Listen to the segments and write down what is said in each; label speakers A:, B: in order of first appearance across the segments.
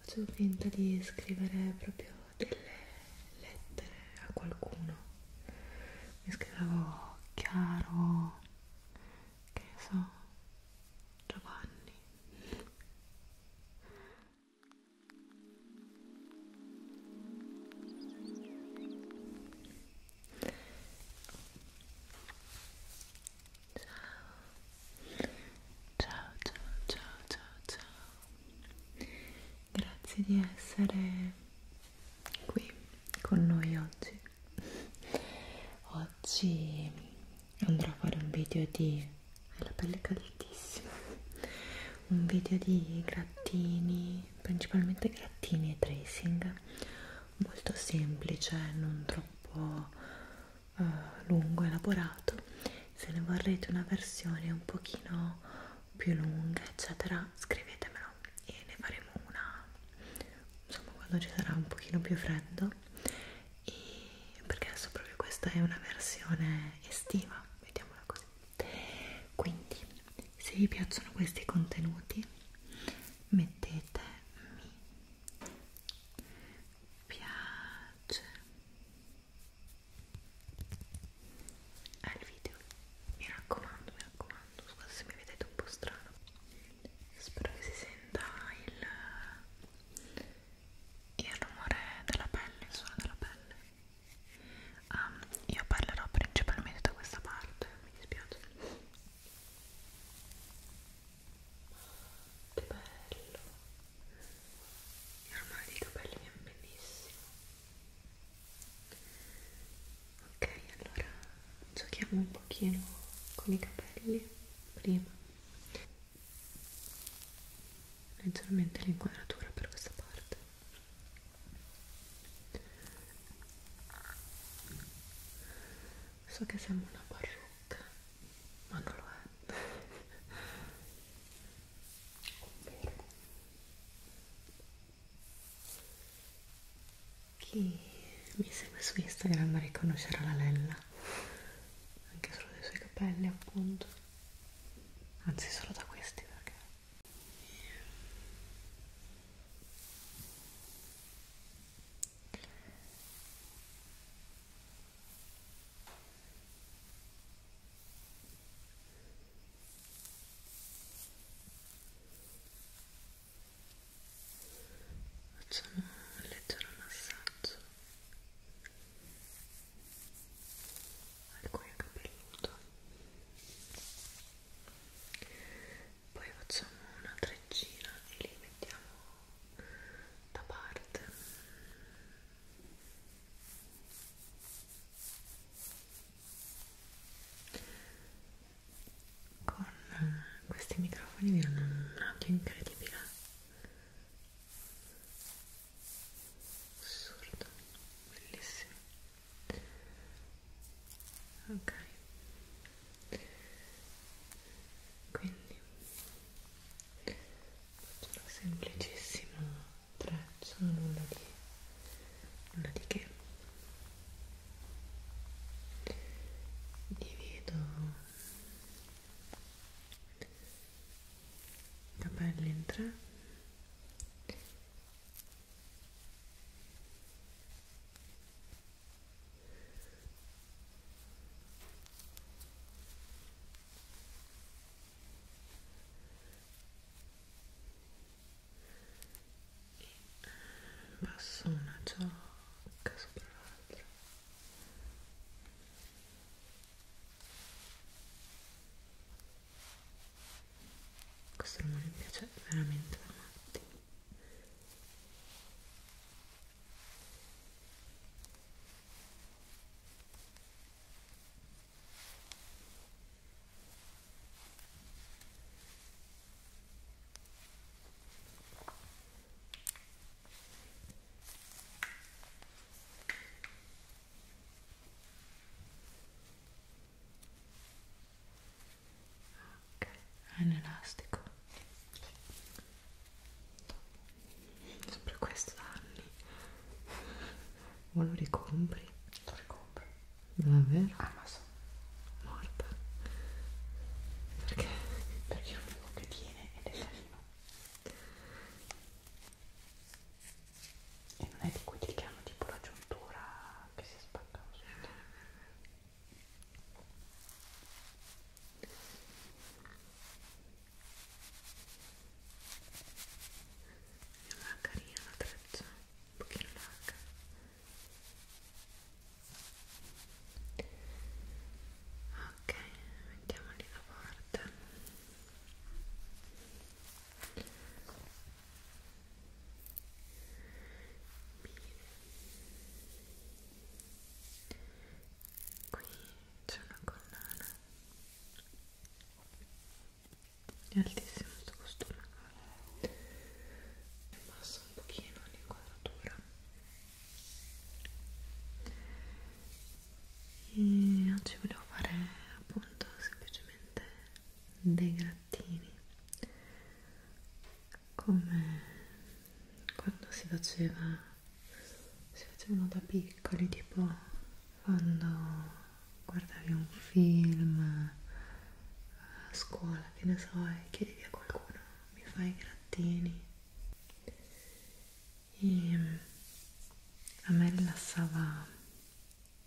A: Facevo finta di scrivere proprio delle lettere a qualcuno. Mi scrivevo Chiaro, che so, Giovanni. Ciao, ciao, ciao, ciao, ciao. Grazie di essere qui con noi oggi. Oggi andrò a fare un video di hai la pelle caldissima un video di grattini principalmente grattini e tracing molto semplice non troppo uh, lungo elaborato se ne vorrete una versione un pochino più lunga eccetera scrivetemelo e ne faremo una insomma quando ci sarà un pochino più freddo e perché adesso proprio questa è una versione estiva vediamola così quindi se vi piacciono questi contenuti mettete mi piace al ah, video mi raccomando mi raccomando scusate se mi vedete un po' strano spero che si senta il il rumore della pelle, il suono della pelle um, io parlerò principalmente da questa parte, mi dispiace che bello il rumore dei capelli mi è bellissimo ok, allora giochiamo un pochino con i capelli prima leggermente l'inquadratura per questa parte so che sembra una parrucca ma non lo è chi mi segue su Instagram riconoscerà la Lella anche solo dei suoi capelli appunto anzi solo da questi perché facciamo un leggero massaggio alcuni capelluto poi facciamo una treccina e li mettiamo da parte con questi microfoni viene un occhio incredibile assurdo bellissimo ok quindi faccio una semplicissima treccia nulla di nulla di che divido capelli in tre e passo eh, una ciocca sopra l'altra questo rumore mi piace veramente da matti ok, è un elastico sempre questo da anni o lo ricompri? lo ricompro davvero? Amazon ah, morta perché? perché è l'unico che tiene ed è carino e non è di quelli che hanno tipo la giuntura che si spaccano sotto è ah, una carina la treccia un pochino larga ok mettiamoli da parte qui c'è una collana è altissimo questo costume basso un pochino l'inquadratura e oggi volevo fare appunto semplicemente dei grattini come quando si faceva si facevano da piccoli tipo quando guardavi un film a scuola che ne so e chiedevi a qualcuno mi fai i grattini e mm, a me rilassava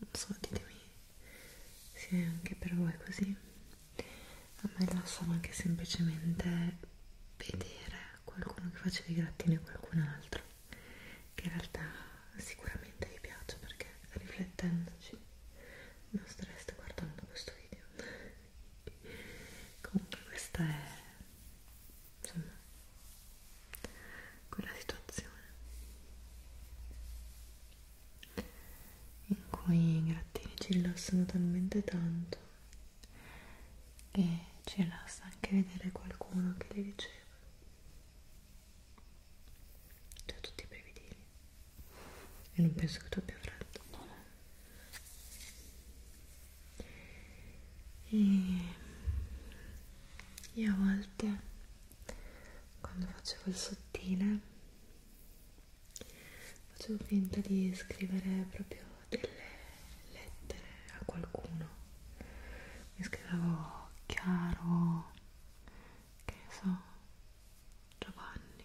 A: non so ditemi se è anche per voi così a me rilassava anche semplicemente vedere qualcuno che faceva i grattini a qualcun altro che in realtà sicuramente vi piace perché riflettendoci non stareste guardando questo video comunque questa è insomma quella situazione in cui i grattini ci rilassano talmente tanto che ci rilassa anche vedere qualcuno che li riceve cioè tutti i prevedili e non penso che tu abbia freddo no, no e, e a volte quando facevo il sottile facevo finta di scrivere proprio delle lettere a qualcuno mi scrivevo chiaro che ne so Giovanni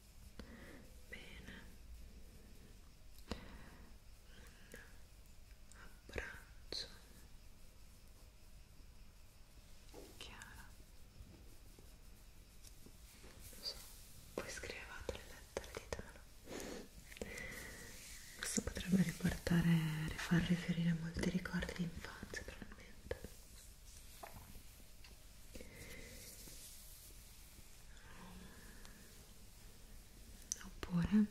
A: bene un abbraccio chiara lo so, voi scrivevate le lettere di Tana questo potrebbe riportare far riferire molti ricordi di infanzia probabilmente oppure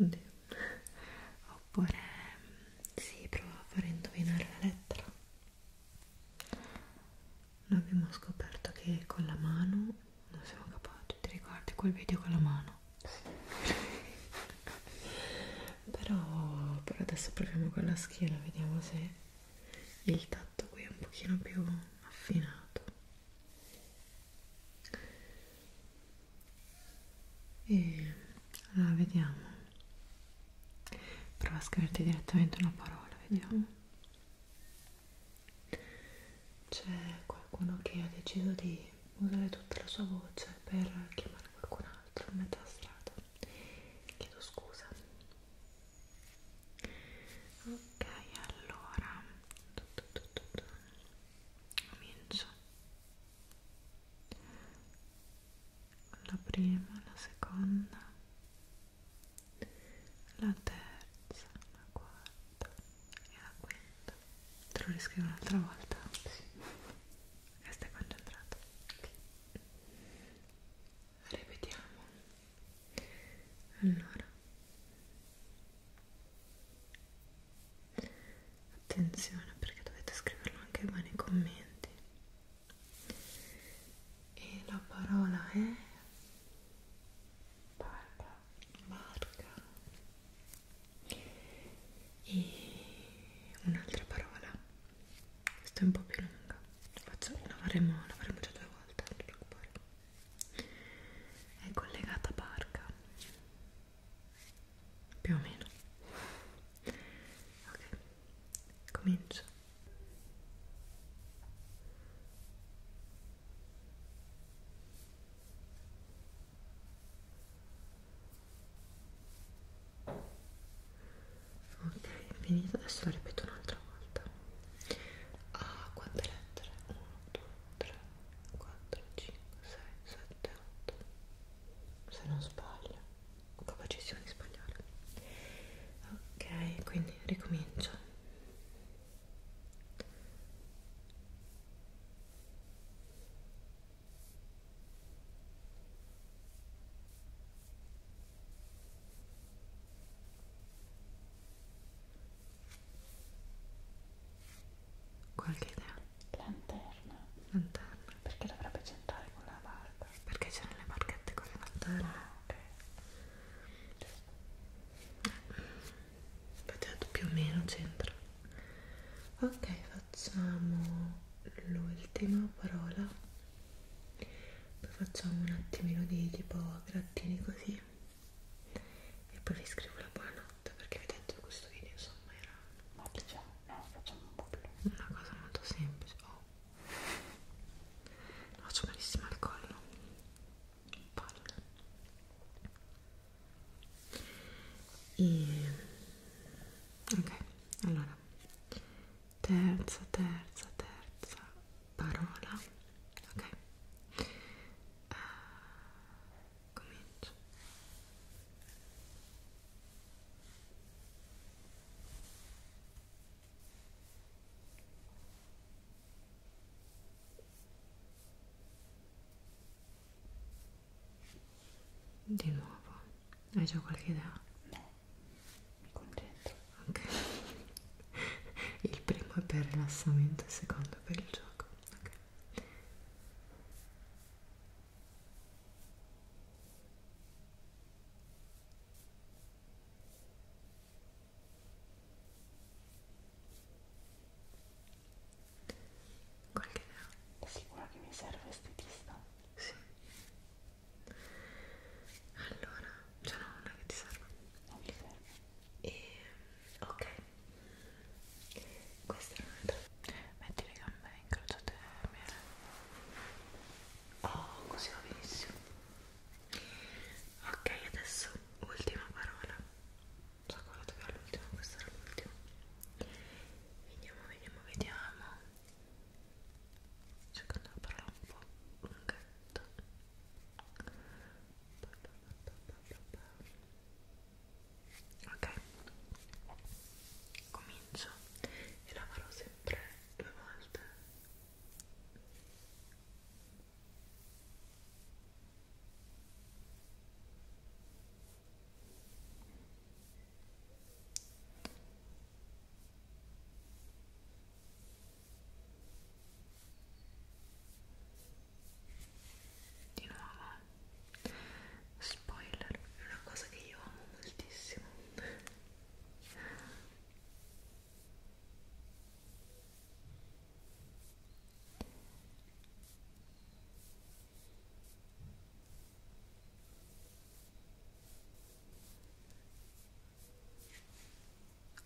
A: Oddio. oppure si sì, prova a fare indovinare la lettera noi abbiamo scoperto che con la mano non siamo capaci ti ricordi quel video con la mano però, però adesso proviamo con la schiena vediamo se il tatto qui è un pochino più affinato e allora vediamo prova a scriverti direttamente una parola vediamo c'è qualcuno che ha deciso di usare tutta la sua voce per chiamare qualcun altro l'altro a metà strada chiedo scusa ok allora comincio la prima la seconda la terza la quarta e la quinta te lo riscrivo un'altra volta sì e stai concentrato ripetiamo allora attenzione perché dovete scriverlo anche voi nei commenti e la parola è barca barca e un'altra parola questa è un po' più lunga Faccio, la, faremo, la faremo già due volte non ti preoccupare è collegata barca più o meno ok comincio Barca ok finito adesso la ripeto un'altra volta ah, quante lettere 1 2 3 4 5 6 7 8 se non sbaglio ho capacissimo di sbagliare ok quindi ricomincio Qualche idea? Lanterna. Lanterna. Perché dovrebbe c'entrare con la barca? Perché c'erano le barchette con le lanterne. Ah, ok. Infatti più o meno c'entra. Ok, facciamo l'ultima parola poi facciamo un attimino di tipo grattini così e poi vi scrivo la buonanotte perché vi ho detto che questo video insomma era semplice no, facciamo un po' più una cosa molto semplice oh. faccio malissimo al collo palle e ok allora terza terza terza parola ok uh, comincio di nuovo, hai già qualche idea? No, mi concentro. Ok, il primo è per rilassamento, il secondo è per il gioco. Ok. Qualche idea? È sicura che mi serve estetista? Sì. Allora, cioè no, non è che ti serve. Non mi serve. E ok. Questa è un'altra. Metti le gambe incrociate bene. Oh, così va benissimo. Ok, adesso ultima parola so quello dove era l'ultimo, questo era l'ultimo vediamo, vediamo, vediamo cercando una parola un po' lunghetta ok comincio e la farò sempre due volte ok di nuovo, eh. spoiler, è una cosa che io amo moltissimo.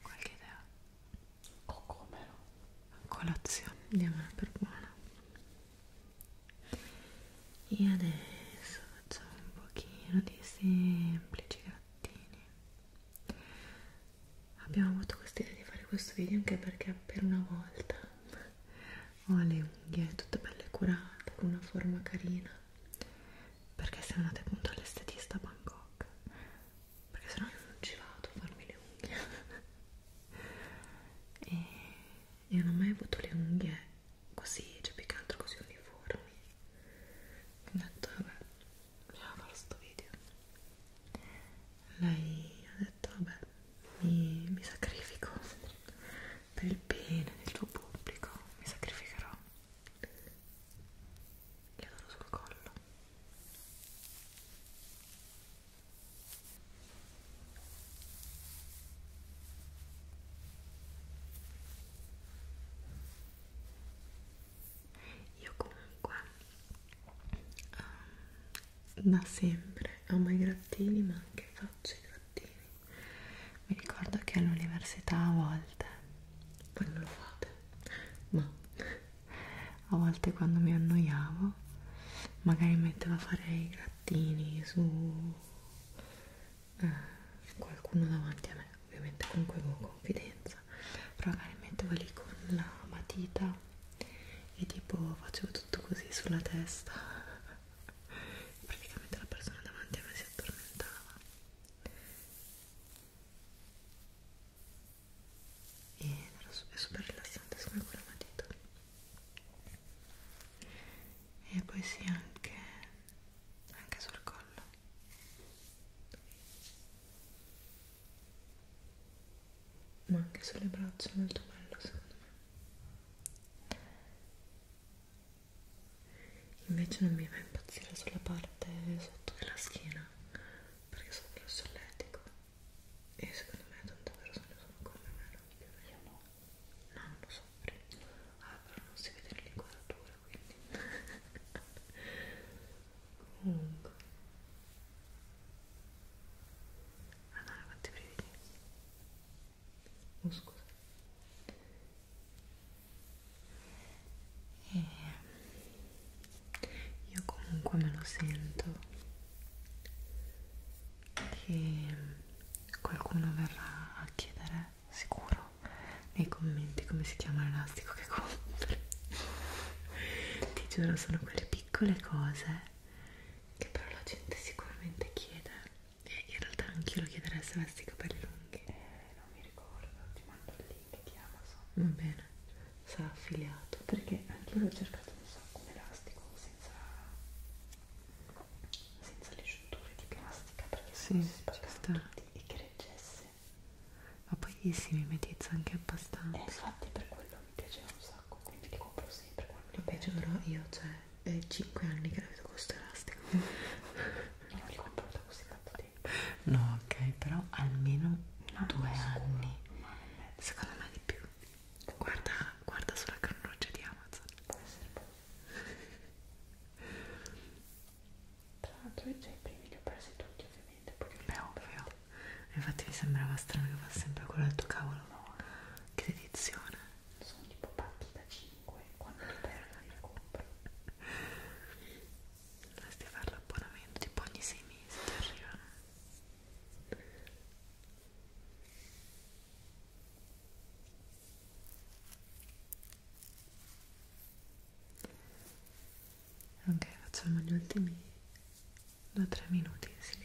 A: Qualche idea? O come no? Colazione, diamola per buona. E adesso facciamo un pochino di semplici grattini. Abbiamo avuto questa idea di fare questo video anche perché per una volta ho le unghie tutte belle curate con una forma carina perché siamo andate appunto all'estetista a Bangkok perché sennò io non ci vado a farmi le unghie e io non ho mai avuto le unghie così, cioè più che altro così uniformi ho detto vabbè bisogna fare questo video lei detto vabbè mi, mi sacrifico per il bene del tuo pubblico mi sacrificherò gli adoro sul collo io comunque um, da sempre amo i grattini ma anche faccio i grattini mi ricordo che all'università a volte voi non lo fate ma a volte quando mi annoiavo magari mettevo a fare i grattini su eh, qualcuno davanti a me ovviamente comunque avevo confidenza però magari mettevo lì con la matita e tipo facevo tutto così sulla testa praticamente la persona davanti a me si addormentava e è super rilassante come quella matita e poi sì anche anche sul collo ma anche sulle braccia è molto bello secondo me invece non mi fa impazzire sulla parte sotto della schiena perché sono più solletico e secondo me tante persone sono come me non più io no no non lo so ah però non si vede l'inquadratura quindi comunque Ah no, quanti brividi. Oh scusa. E eh, io comunque me lo sento che qualcuno verrà a chiedere sicuro nei commenti come si chiama l'elastico che compri ti giuro sono quelle piccole cose che però la gente sicuramente chiede e in realtà anch'io lo chiederei se avessi i capelli lunghi eh, non mi ricordo, ti mando il link di Amazon va bene, sarà affiliato perché anche io l'ho cercato non so, con elastico senza senza le giunture di plastica perché sì, si spaccano tutti e che reggesse ma poi si mimetizza anche abbastanza eh, infatti per quello mi piaceva un sacco, quindi li compro sempre quando li Vabbè, giuro, io cioè, è 5 anni che la vedo con questo elastico non li compro da così tanto tempo no, ok, però almeno 2 ah, anni secondo me di più guarda, guarda sulla cronologia di Amazon può essere buono tra l'altro io già i primi li ho presi tutti ovviamente niente, poi non è ovvio. Infatti mi sembrava strano che fosse sempre quello del tuo cavolo. No. Che edizione. Sono tipo partita 5, quando li perdo li compro. Dovresti fare l'abbonamento, tipo ogni 6 mesi ti arrivano. Ok, facciamo gli ultimi da tre minuti in silenzio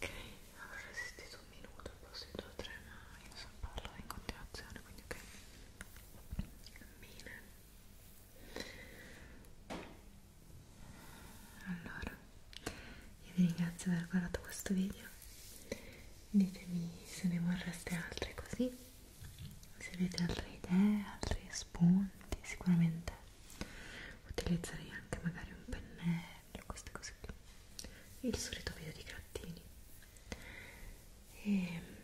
A: Ok, avrò resistito un minuto, poi ho sentito tre, ma io so parlo in continuazione, quindi ok. Mille. Allora, io vi ringrazio per aver guardato questo video. Ditemi se ne vorreste altri così se avete altre idee, altri spunti, sicuramente utilizzerei anche magari un pennello, queste cose qui, il solito video di grattini. E ehm,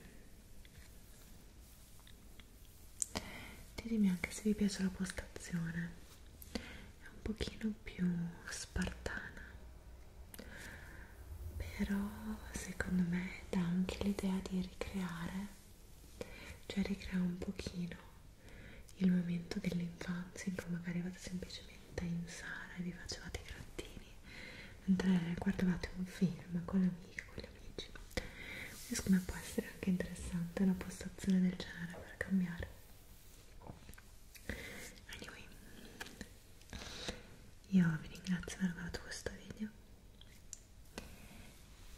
A: ditemi anche se vi piace la postazione, è un pochino più spartana, però secondo me dà anche l'idea di ricreare cioè ricrea un pochino il momento dell'infanzia in cui magari vado semplicemente in sala e vi facevate i grattini mentre guardavate un film con l'amica, con gli amici e secondo me può essere anche interessante una postazione del genere per cambiare anyway io vi ringrazio per aver guardato questo video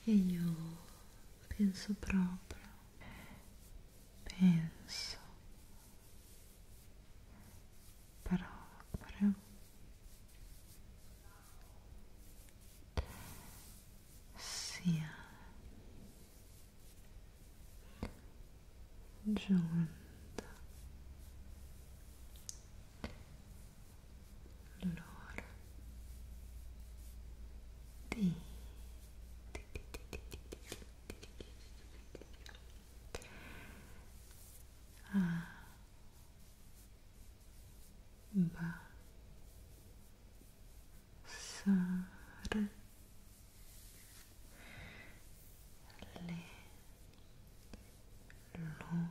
A: e io penso próprio penso proprio sia giunta l'odore di, di, di, di, di, di, di. Ah. Ba. Sare. le luci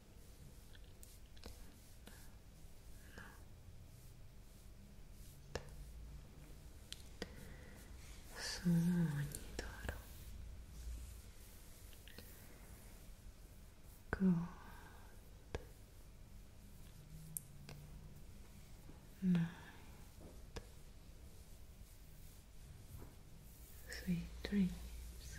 A: sogni d'oro good night sweet dreams